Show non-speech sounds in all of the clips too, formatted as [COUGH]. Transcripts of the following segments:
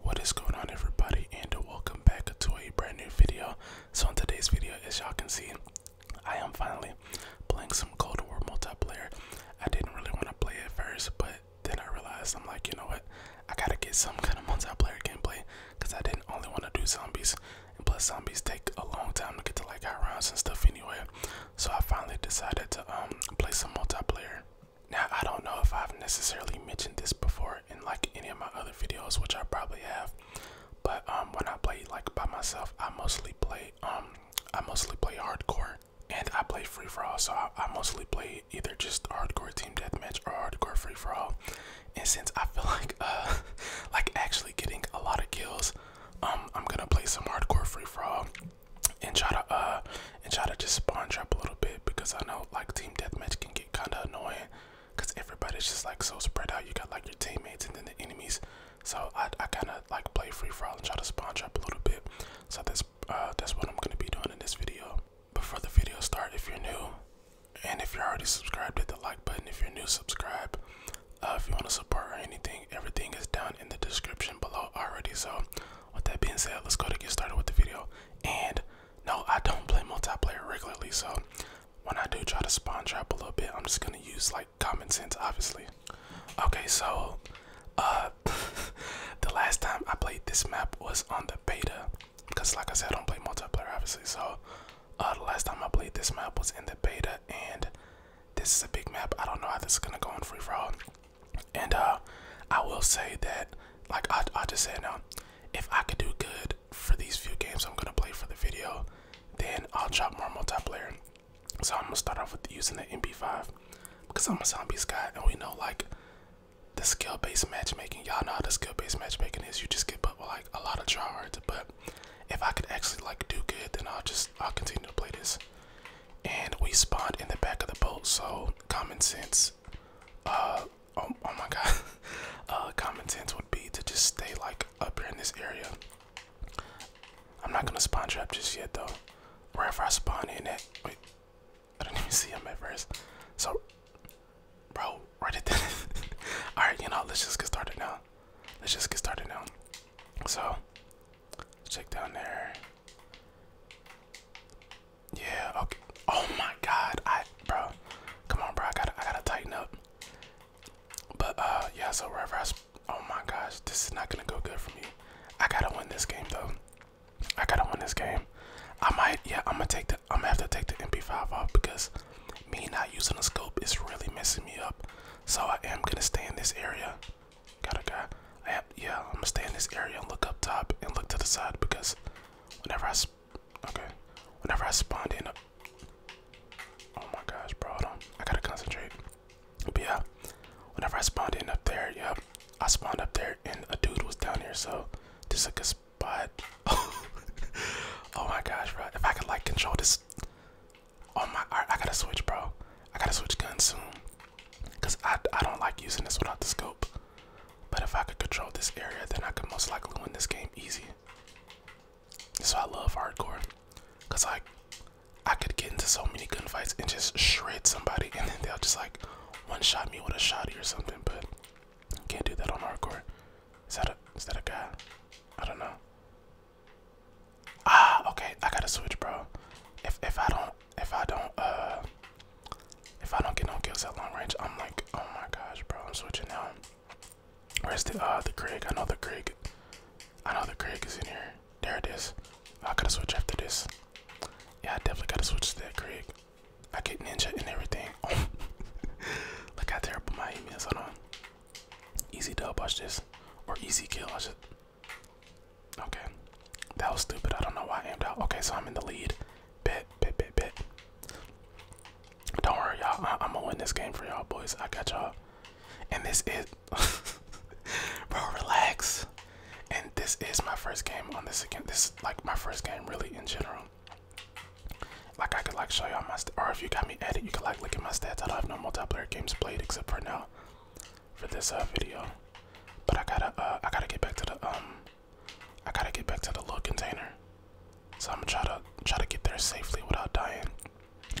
What is going on everybody and welcome back to a brand new video. So in today's video as y'all can see I am finally playing some Cold War multiplayer. I didn't really want to play it first but then I realized I'm like you know what I gotta get some kind of multiplayer gameplay because I didn't only want to do zombies and plus zombies take a long time to get to like high rounds and stuff anyway. So I finally decided to um, play some multiplayer. Now, I don't know if I've necessarily mentioned this before in like any of my other videos, which I probably have, but um, when I play like by myself, I mostly play um, I mostly play hardcore and I play free for all. So I, I mostly play either just hardcore team deathmatch or hardcore free for all. And since I feel [LAUGHS] like uh, like actually getting a lot of kills, um, I'm gonna play some hardcore free for all and try to uh and try to just spawn trap a little bit because I know like team deathmatch can get kind of annoying because everybody's just like so spread out. You got like your teammates and then the enemies. So I, I kind of like play free for all and try to spawn trap a little bit. So that's uh, that's what I'm gonna be doing in this video. Before the video start, if you're new and if you're already subscribed, hit the like button. If you're new, subscribe. Uh, if you want to support or anything, everything is down in the description below already. So with that being said, let's go to get started with the video. And no, I don't play multiplayer regularly, so when I do try to spawn trap a little bit, I'm just gonna use like common sense, obviously. Okay, so uh, [LAUGHS] the last time I played this map was on the beta, because like I said, I don't play multiplayer, obviously. So uh, the last time I played this map was in the beta, and this is a big map. I don't know how this is gonna go on free for and uh, I will say that, like I, I just said now, if I could do good for these few games I'm gonna play for the video, then I'll drop more multiplayer. So I'm gonna start off with using the MP5 because I'm a zombie guy, and we know like the skill-based matchmaking. Y'all know how the skill-based matchmaking is. You just get put like a lot of tryhards. But if I could actually like do good, then I'll just I'll continue to play this. And we spawned in the back of the boat, so common sense uh, oh, oh, my god [LAUGHS] uh, common sense would be to just stay like up here in this area i'm not gonna spawn trap just yet though wherever i spawn in it wait i didn't [LAUGHS] even see him at first so bro right at that all right you know let's just get started now let's just get started now so check down there yeah, okay. Oh my god, I bro. Come on bro, I gotta I gotta tighten up. But uh yeah, so wherever I oh my gosh, this is not gonna go good for me. I gotta win this game though. I gotta win this game. I might yeah, I'm gonna take the I'm gonna have to take the MP5 off because me not using the scope is really messing me up. So I am gonna stay in this area. Got a guy yeah, I'm gonna stay in this area and look up top and look to the side because whenever I, okay, whenever I spawned in, oh my gosh, bro, I gotta concentrate. yeah, whenever I spawned in up there, yep, I spawned up there and a dude was down here, so this is a good spot. [LAUGHS] oh my gosh, bro, if I could like control this, oh my, I, I gotta switch, bro, I gotta switch guns soon. Cause I, I don't like using this without the scope. But if I could control this area, then I could most likely win this game easy. So I love hardcore. Cause like I could get into so many gunfights and just shred somebody and then they'll just like one shot me with a shotty or something, but can't do that on hardcore. Is that a is that a guy? I don't know. Ah, okay, I gotta switch bro. If if I don't if I don't uh if I don't get no kills at long range, I'm like, oh my gosh, bro, I'm switching out. Where's the uh the Greg? I know the Greg. I know the Greg is in here. There it is. I gotta switch after this. Yeah, I definitely gotta switch to that Greg. I get ninja and everything. Oh. Look how terrible my aim is. Hold on. Easy dub, watch this. Or easy kill, watch Okay. That was stupid. I don't know why I aimed out. Okay, so I'm in the lead. Bit, bit, bit, bit. Don't worry, y'all. I am gonna win this game for y'all, boys. I got y'all. And this is. [LAUGHS] Bro, relax. And this is my first game on this again. This is like my first game, really, in general. Like, I could like show y'all my. Or if you got me edited, you could like look at my stats. I don't have no multiplayer games played except for now for this uh, video. But I gotta, uh, I gotta get back to the um, I gotta get back to the little container. So I'm gonna try to try to get there safely without dying.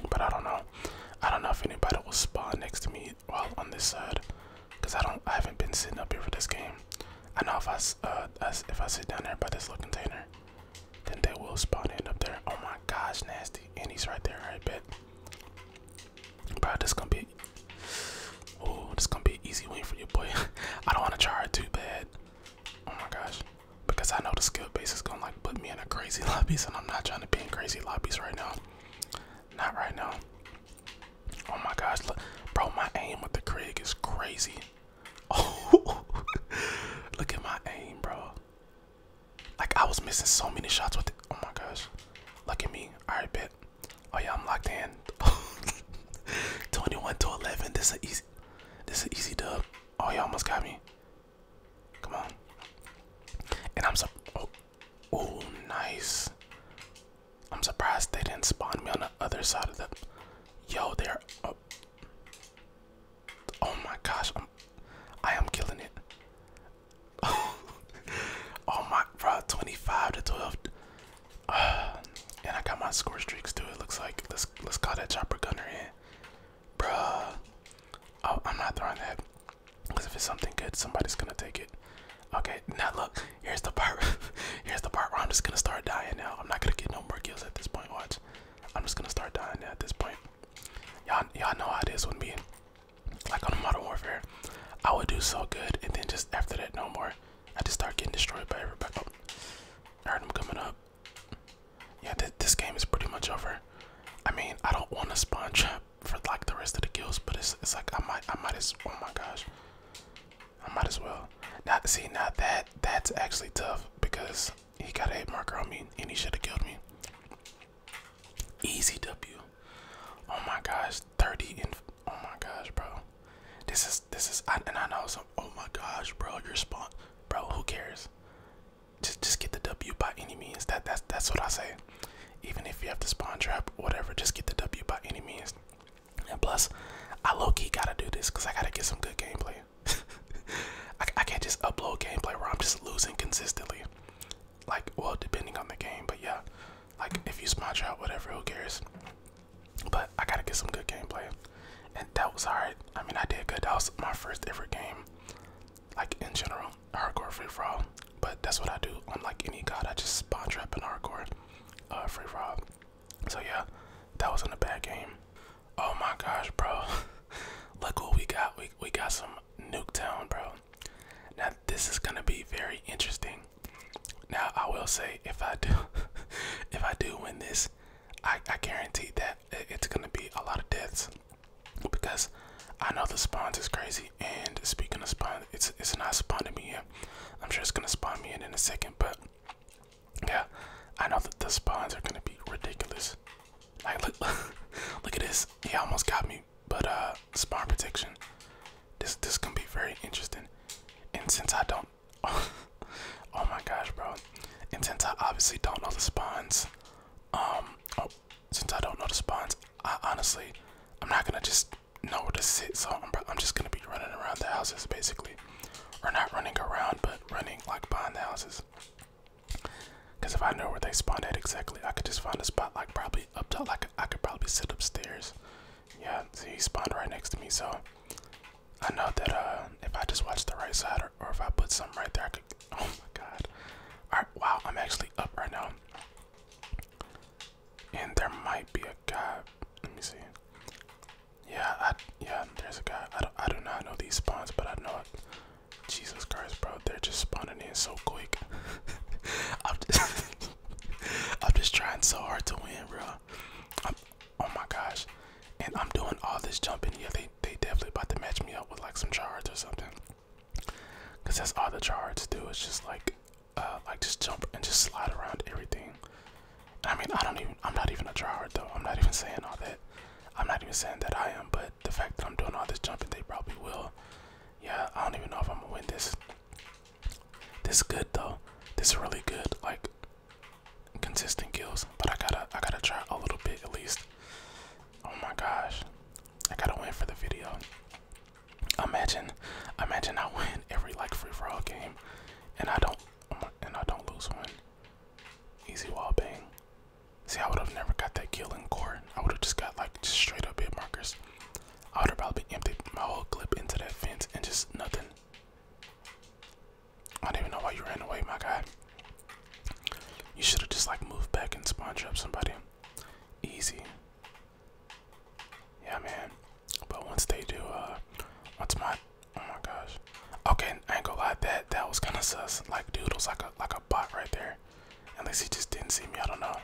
But I don't know. I don't know if anybody will spawn next to me while on this side, cause I don't, I haven't been sitting up here for this game. I know if I, uh, if I sit down there by this little container, then they will spawn in up there. Oh my gosh, nasty! And he's right there. I bet. Bro, this gonna be Oh, this gonna be easy win for you, boy. [LAUGHS] I don't wanna try it too bad. Oh my gosh. Because I know the skill base is gonna like put me in a crazy [LAUGHS] lobbies and I'm not trying to be in crazy lobbies right now. Not right now. Oh my gosh, look bro my aim with the Krig is crazy. Oh [LAUGHS] look at my aim, bro. Like I was missing so many shots with it. Oh my gosh. Look at me. Alright bit. Oh yeah, I'm locked in. [LAUGHS] 21 to 11. This is easy. This is easy dub. Oh, you almost got me. Come on. And I'm so. Oh, oh, nice. I'm surprised they didn't spawn me on the other side of the. Yo, they're. Oh, my gosh, I am killing it. [LAUGHS] oh my, bro, 25 to 12. [SIGHS] and I got my score streaks too. It looks like let's let's call that chopper gunner in, bruh. Oh, I'm not throwing that because if it's something good, somebody's gonna take it. Okay, now look, here's the part. [LAUGHS] here's the part where I'm just gonna start dying now. I'm not gonna get no more kills at this point. Watch, I'm just gonna start dying at this point. Y'all, y'all know how this with be like on Modern Warfare, I would do so good, and then just after that, no more. I just start getting destroyed by everybody. Oh, I heard him coming up. Yeah, this game is pretty much over. I mean, I don't want to spawn trap for like the rest of the kills, but it's it's like I might I might as oh my gosh, I might as well. Not see not that that's actually tough because he got a head marker on me and he should have killed me. Easy W. Oh my gosh, 30 oh my gosh, bro. This is this is I, and I know some oh my gosh, bro, you're spawn bro, who cares? Just just get the W by any means. That that's that's what I say. Even if you have to spawn trap, whatever, just get the W by any means. And plus, I low-key gotta do this because I gotta get some good gameplay. [LAUGHS] I can't just upload gameplay where I'm just losing consistently. Like, well, depending on the game, but yeah. Like if you smash out, whatever, who cares? But I gotta get some good gameplay, and that was alright. I mean, I did good. That was my first ever game, like in general, hardcore free for all. But that's what I do. Unlike any god, I just spawn trap and hardcore uh, free for all. So yeah, that was in a bad game. Oh my gosh, bro! [LAUGHS] Look what we got. We we got some Nuketown, bro. Now this is gonna be very interesting now I will say if I do [LAUGHS] if I do win this, I, I guarantee that it's gonna be a lot of deaths because I know the spawns is crazy and speaking of spawns, it's it's not spawning me yet. I'm sure it's gonna spawn me in in a second but yeah I know that the spawns are gonna be ridiculous. Like look, [LAUGHS] look at this. He almost got me but uh, spawn prediction. This this can be very interesting, and since I don't, [LAUGHS] oh, my gosh, bro, and since I obviously don't know the spawns, um, oh, since I don't know the spawns, I honestly, I'm not gonna just know where to sit, so I'm I'm just gonna be running around the houses basically, or not running around, but running like behind the houses. Cause if I know where they spawned at exactly, I could just find a spot like probably up to like I could probably sit upstairs. Yeah, he spawned right next to me, so I know that uh, if I just watch the right side or, if I put something right there, I could. [LAUGHS] Oh my god. Alright, wow, I'm actually up right now. And there might be a guy. Let me see. Yeah, I, yeah, there's a guy. I do, I do not know these spawns, but I know it. Jesus Christ, bro. They're just spawning in so quick. [LAUGHS] [LAUGHS] I'm just trying so hard to win, bro. oh my gosh. And I'm doing all this jumping. Yeah, they, they definitely about to match me up with like some charge or something. Cause that's all the charge do is just like uh like just jump and just slide around everything. I mean I don't even I'm not even a tryhard though. I'm not even saying all that. I'm not even saying that I am, but the fact that I'm doing all this jumping they probably will. Yeah, I don't even know if I'm gonna win this. This is good though. This is really good, like consistent kills. But I gotta, I gotta try a little bit at least. Oh my gosh, I gotta win for the video. Imagine, imagine I win every like free for all game, and I don't, and I don't lose one. Easy wall bang. See, I would have never got that kill in court. I would have just got like just straight up hit markers. I would have probably emptied my whole clip into that fence and just nothing. I don't even know why you ran away, my guy. You should have just like moved back and spawned up somebody. Easy. Yeah, man. But once they do, uh, what's my, oh my gosh. Okay, I ain't gonna lie, that that was kind of sus. Like, dude was like a like a bot right there. Unless he just didn't see me, I don't know.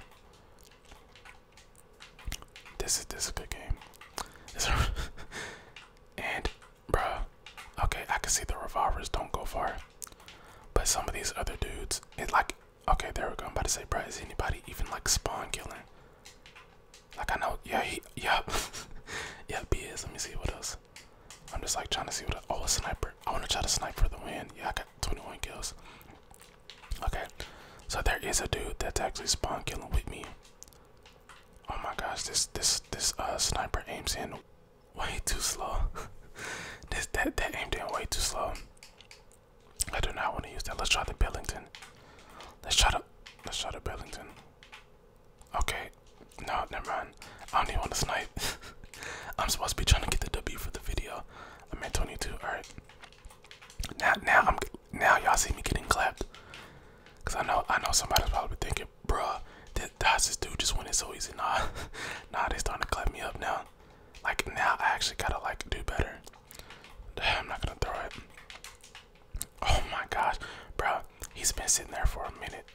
This is this is a good game. [LAUGHS] and bruh, okay, I can see the revolvers don't go far. But some of these other dudes, it like okay, there we go. I'm about to say, bruh, is anybody even like spawn killing? Like I know, yeah, he, yeah, [LAUGHS] yeah, B is. Let me see what else. I'm just like trying to see what. Else. Oh, a sniper! I want to try to snipe for the win. Yeah, I got 21 kills. Okay, so there is a dude that's actually spawn killing with me. Oh my gosh, this this this uh sniper aims in way too slow. [LAUGHS] this that that aimed in way too slow. I do not want to use that. Let's try the Bellington. Let's try the let's try the Bellington. Okay, no, never mind. I don't even want to snipe. [LAUGHS] I'm supposed to be trying to get the W for the video. I'm at 22. All right, now, now I'm now y'all see me getting clapped, cause I know I know somebody's probably thinking, bruh, that that's this dude just went it so easy. [LAUGHS] Nah, nah, they starting to clap me up now. Like now, I actually gotta like do better. I'm not gonna throw it. Oh my gosh, bro, he's been sitting there for a minute.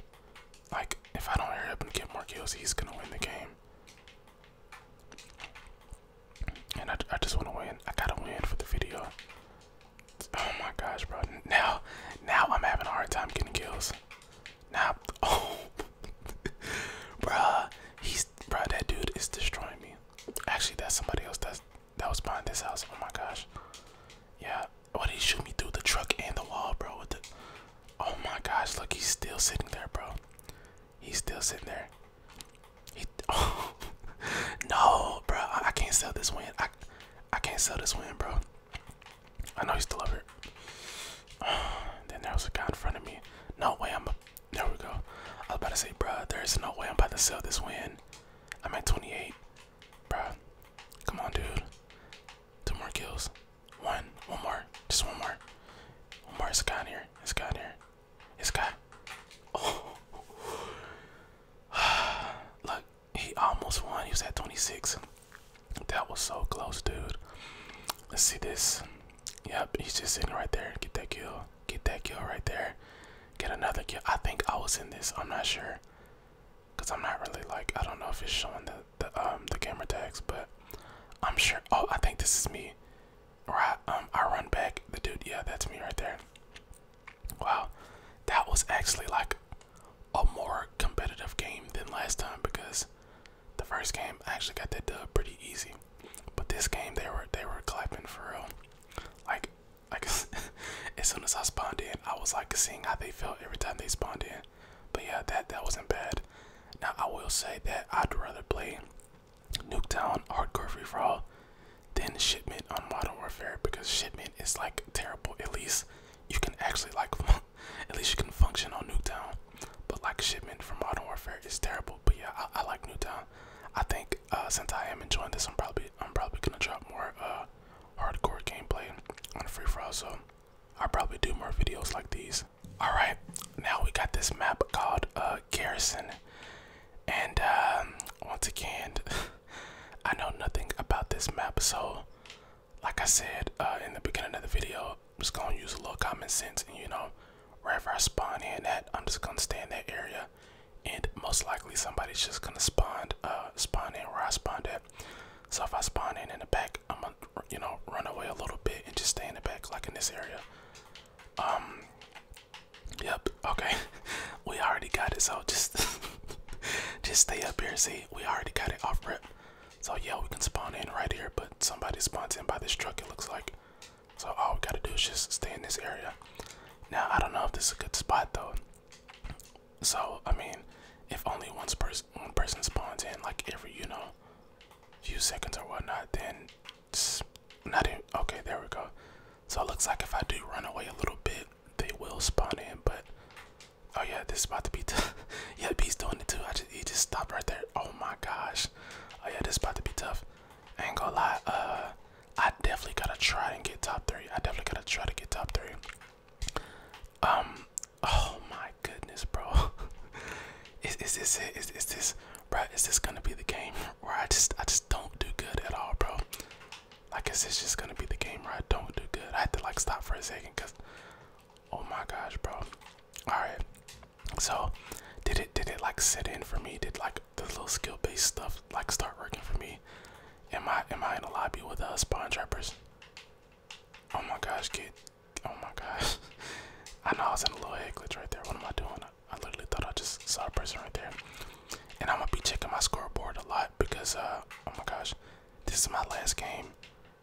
Like if I don't hurry up and get more kills, he's gonna win the game. And I, I just want to win. I gotta win for the video. Oh my gosh, bro! Now, now I'm having a hard time getting kills. Now, [LAUGHS] oh, bro, he's bruh. That dude is destroying me. Actually, that's somebody else. That's that was behind this house. Oh my gosh. Yeah. What he shoot me through the truck and the wall, bro? With the, oh my gosh, look, he's still sitting there, bro. He's still sitting there. He, [LAUGHS] no, bro. I, can't sell this win. I, I can't sell this win, bro. I know he's still over. Oh, [SIGHS] then there was a guy in front of me. No way I'm. There we go. I was about to say, bro, there is no way I'm about to sell this win. I'm at 28, bro. Come on, dude. Two more kills. One, one more. Just one more. One more. It's got here. It's got here. It's got. [SIGHS] Look, he almost won. He was at 26. That was so close, dude. Let's see this. Yep, he's just sitting right there. Get that kill. Get that kill right there. Get another kill. I think I was in this. I'm not sure. Cause I'm not really like I don't know if it's showing the the um the camera tags, but I'm sure. Oh, I think this is me. Or I, um, I run back. The dude, yeah, that's me right there. Wow, that was actually like a more competitive game than last time because the first game I actually got that dub pretty easy. But this game, they were they were clapping for real. Like, like [LAUGHS] as soon as I spawned in, I was like seeing how they felt every time they spawned in. But yeah, that that wasn't bad. Now I will say that I'd rather play Nuketown, Hardcore Free For All, then Shipment on Modern Warfare because Shipment is like terrible. At least you can actually like, [LAUGHS] at least you can function on Nuketown. But like Shipment from Modern Warfare is terrible. But yeah, I, like Nuketown. I think uh, since I am enjoying this, I'm probably I'm probably gonna drop more uh, hardcore gameplay on Free For All. So i probably do more videos like these. All right, now we got this map called uh, Garrison, and um, once again, [LAUGHS] I know nothing about this map. So, like I said uh, in the beginning of the video, I'm just gonna use a little common sense, and you know, wherever I spawn in at, I'm just gonna stay in that area, and most likely somebody's just gonna spawn, uh, spawn in where I spawned at. So if I spawn in in the back, I'm gonna you know, run away a little bit and just stay in the back, like in this area. Um. Yep. Okay. [LAUGHS] we already got it. So just, [LAUGHS] just stay up here. See, we already got it off rip. So yeah, we can spawn in right here. But somebody spawns in by this truck. It looks like. So all we gotta do is just stay in this area. Now I don't know if this is a good spot though. So I mean, if only one person one person spawns in, like every you know, few seconds or whatnot, then not even okay. There we go. So it looks like if I do run away a little bit, they will spawn in. But oh yeah, this is about to be. tough. [LAUGHS] yeah, B's doing it too. I just he just stopped right there. Oh my gosh. Oh yeah, this is about to be tough. I ain't gonna lie. Uh, I definitely gotta try and get top three. I definitely gotta try to get top three. Um. Oh my goodness, bro. [LAUGHS] is, is this it? Is, is this, bro? Is this gonna be the game where I just, I just don't do good at all, bro? I guess it's just gonna be the game where I don't do good? I had to like stop for a second, cause, oh my gosh, bro. All right. So, did it, did it like sit in for me? Did like the little skill-based stuff like start working for me? Am I, am I in a lobby with uh spawn trappers? Oh my gosh, kid oh my gosh. [LAUGHS] I know I was in a little head glitch right there. What am I doing? I, literally thought I just saw a person right there. And I'm gonna be checking my scoreboard a lot because uh, oh my gosh, this is my last game.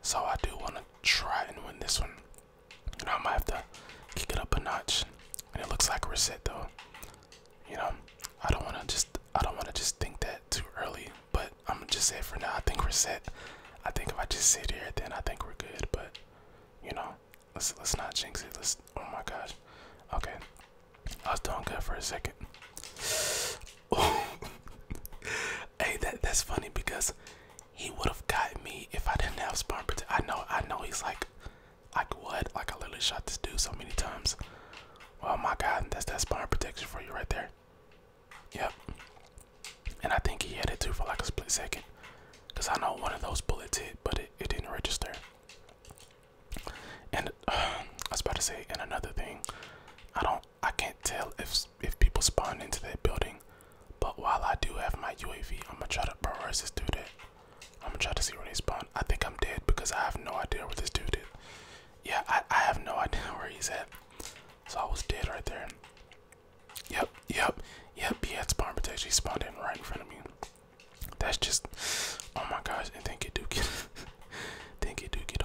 So I do wanna try and win this one. You know, I might have to kick it up a notch. And it looks like we're set though. You know, I don't wanna just I don't wanna just think that too early, but I'm just set for now I think we're set. I think if I just sit here then I think we're good, but you know, let's let's not jinx it. Let's. Oh my gosh. Okay, I was doing good for a second. [LAUGHS] hey, that that's funny because he would have got me if I didn't have spawn protection. I know, I know. He's like, like what? Like I literally shot this dude so many times. Oh my god, that's that spawn protection for you right there. Yep and I think he had it too for like a split second. Cause I know one of those bullets hit, but it, it didn't register. And [SIGHS] I was about to say, and another thing, I don't, I can't tell if if people spawn into that building. But while I do have my UAV, I'm gonna try to prioritize this dude. I'm gonna try to see where they spawn. I think I'm dead because I have no idea where this dude is. Yeah, I, I have no [LAUGHS] idea where he's at. So I was dead right there. Yep, yep, yep. He had bomb protection. He spawned in right in front of me. That's just, oh my gosh. And think it do get, [LAUGHS] think do get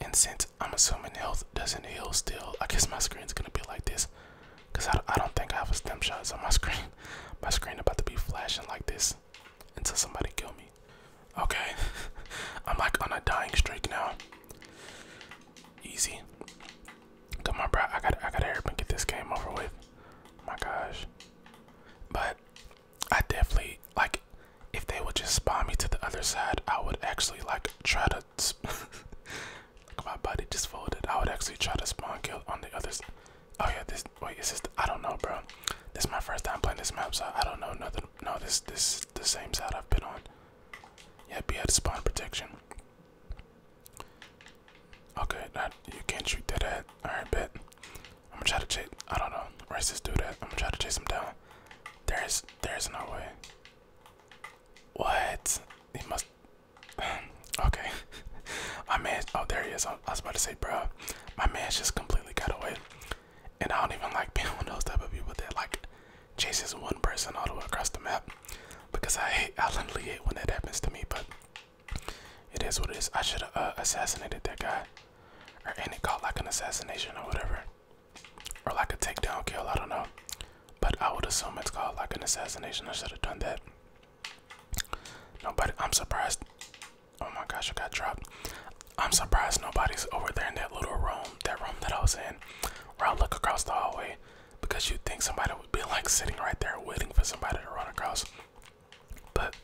And since I'm assuming health doesn't heal still, I guess my screen's gonna be like this, cause I, I don't think I have a stem shot. on my screen, [LAUGHS] my screen about to be flashing like this until somebody kill me. Okay, [LAUGHS] I'm like on a dying streak now. Easy. Come on, bro. I got I got to and get this game over with. My gosh. But I definitely like if they would just spawn me to the other side, I would actually like try to [LAUGHS] like my body just folded. I would actually try to spawn kill on the other side. Oh yeah, this wait, is this I don't know, bro. This is my first time playing this map, so I don't know nothing. No, this this the same side I've been on. Yep, he had spawn protection. Okay, that you can't shoot that at. Alright, bet. I'm gonna try to chase I don't know. Where's this dude at? I'm gonna try to chase him down. There's there's no way. What? He must [SIGHS] Okay. [LAUGHS] my man oh there he is. I was about to say, bro, my man's just completely got away. And I don't even like being [LAUGHS] one of those type of people that like chases one person all the way across the map because I hate, [LAUGHS] I literally hate when that happens to me, but it is what it is. I should have uh, assassinated that guy, or and it called like an assassination or whatever, or like a takedown kill. I don't know, but I would assume it's called like an assassination. I should have done that. Nobody, I'm surprised. Oh my gosh, I got dropped. I'm surprised nobody's over there in that little room, that room that I was in. I'll look across the hallway because you'd think somebody would be like sitting right there waiting for somebody to run across. But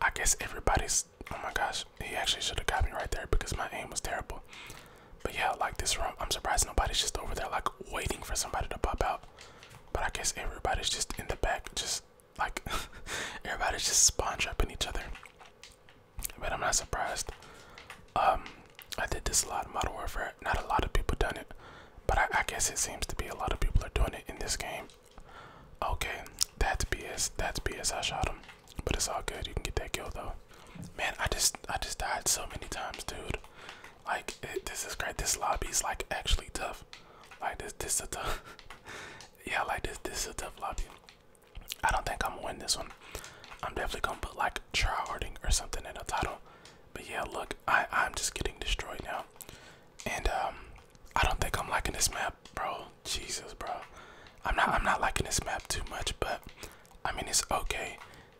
I guess everybody's oh my gosh, he actually should have got me right there because my aim was terrible. But yeah, like this room, I'm surprised nobody's just over there like waiting for somebody to pop out. But I guess everybody's just in the back, just like [LAUGHS] everybody's just spawn trapping each other but I'm not surprised. Um, I did this a lot in Modern Warfare. Not a lot of people done it, but I, guess it seems to be a lot of people are doing it in this game. Okay, that's BS. That's BS. I shot him, but it's all good. You can get that kill though. Man, I just I just died so many times, dude. Like this is great. This lobby is like actually tough. Like this this is tough. [LAUGHS] yeah, like this this is a tough lobby. I don't think I'm gonna win this one. I'm definitely gonna put like tryharding or something in a title. But yeah, look, I I'm just getting destroyed now, and um, I don't think I'm liking this map, bro. Jesus, bro, I'm not I'm not liking this map too much, but I mean it's okay.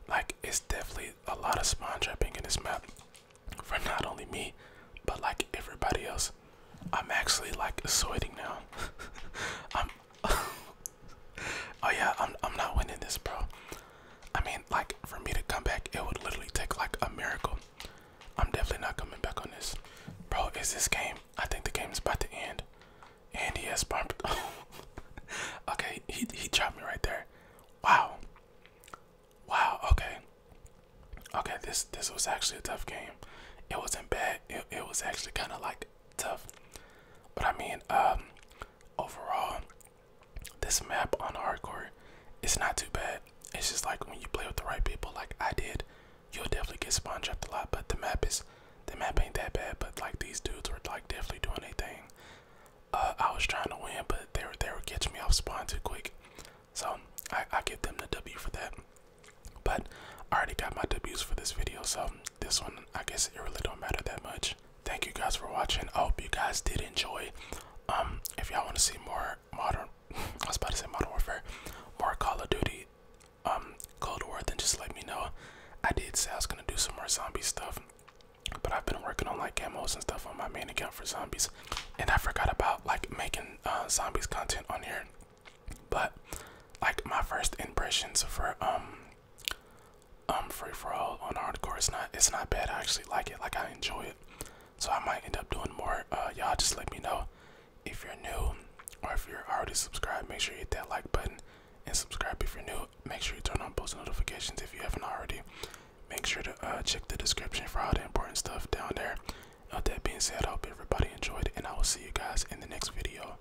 Like it's definitely a lot of spawn trapping in this map for not only me, but like everybody else. I'm actually like sweating now. [LAUGHS] I'm [LAUGHS] oh yeah, I'm I'm not winning this, bro. I mean, like for me to come back, it would literally take like a miracle. I'm definitely not coming back on this, bro. Is this game? I think the game is about to end, and he has bumped. [LAUGHS] okay, he he dropped me right there. Wow. Wow. Okay. Okay. This this was actually a tough game. It wasn't bad. It it was actually kind of like tough. But I mean, um, overall, this map on hardcore, it's not too bad. It's just like when you play with the right people, like I did, you'll definitely get spawn trapped a lot. But the map is, the map ain't that bad. But like these dudes were like definitely doing their thing. Uh, I was trying to win, but they were they were catching me off spawn too quick. So I I give them the W for that. But I already got my debuts for this video, so this one i guess it really don't matter that much thank you guys for watching i hope you guys did enjoy um if y'all want to see more modern [LAUGHS] i was about to say modern warfare more call of duty um cold war then just let me know i did say i was gonna do some more zombie stuff but i've been working on like camos and stuff on my main account for zombies and i forgot about like making uh, zombies content on here but like my first impressions for um um free for all on hardcore. It's not it's not bad. I actually like it. Like I enjoy it. So I might end up doing more. Uh, y'all just let me know if you're new or if you're already subscribed. Make sure you hit that like button and subscribe if you're new. Make sure you turn on post notifications if you haven't already. Make sure to uh, check the description for all the important stuff down there. With that being said, I hope everybody enjoyed, and I will see you guys in the next video.